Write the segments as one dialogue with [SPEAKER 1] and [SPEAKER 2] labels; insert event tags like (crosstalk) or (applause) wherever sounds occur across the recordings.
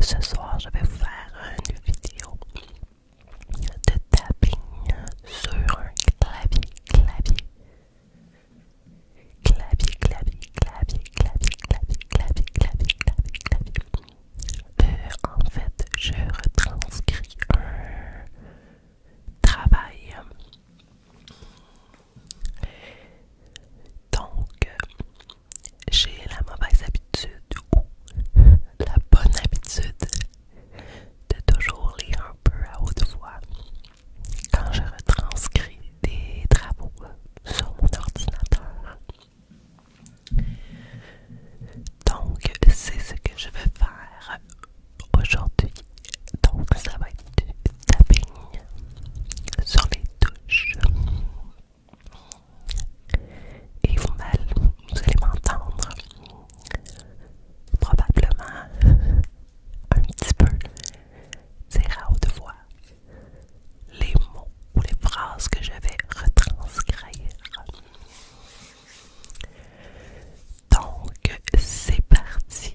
[SPEAKER 1] ce soir, je vais vous faire une vidéo de tapping sur un clavier, clavier. Clavier, clavier, clavier, clavier, clavier, clavier, clavier, clavier, clavier. Euh, en fait, je retranscris un travail.
[SPEAKER 2] Donc, j'ai la mauvaise habitude ou la bonne habitude de toujours lire un peu à haute voix quand je retranscris des travaux sur mon ordinateur. Donc, c'est ce que je vais faire aujourd'hui. Donc, ça va être du tapping sur les touches et vous allez m'entendre
[SPEAKER 3] probablement (laughs) un petit peu dire à haute voix les mots ou les phrases que je vais retranscrire. Donc, c'est parti.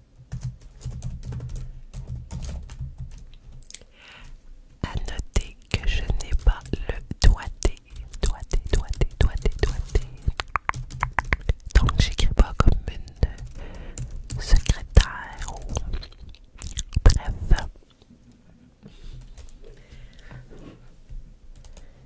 [SPEAKER 3] A noter que je n'ai pas le doigté, doigté, doigté, doigté, doigté. Donc j'écris pas comme une secrétaire ou bref.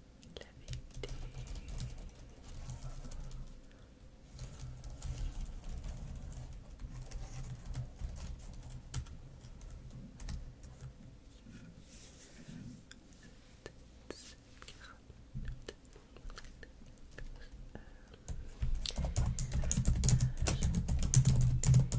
[SPEAKER 3] la vérité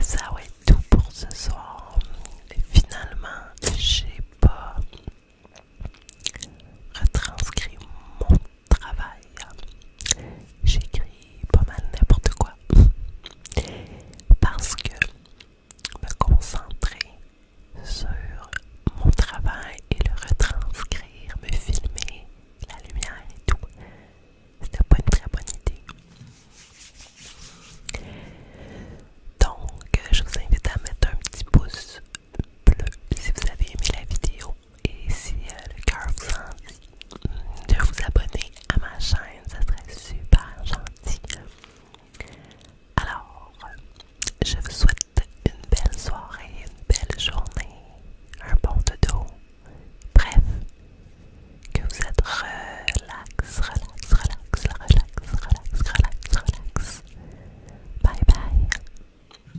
[SPEAKER 3] Ça ouais tout pour ce soir. Et finalement, j'ai pas retranscrit mon travail. J'écris pas mal n'importe quoi. Parce que me concentrer sur mon travail et le retranscrire, me filmer, la lumière et tout, c'était pas une très bonne idée. Donc, je vous invite à mettre un petit pouce bleu si vous avez aimé la vidéo et si euh, le cœur vous en dit de vous abonner à ma chaîne, ça serait super gentil. Alors, je vous souhaite une belle soirée, une belle journée, un bon dodo. Bref, que vous êtes relax, relax, relax, relax, relax, relax, relax. Bye bye.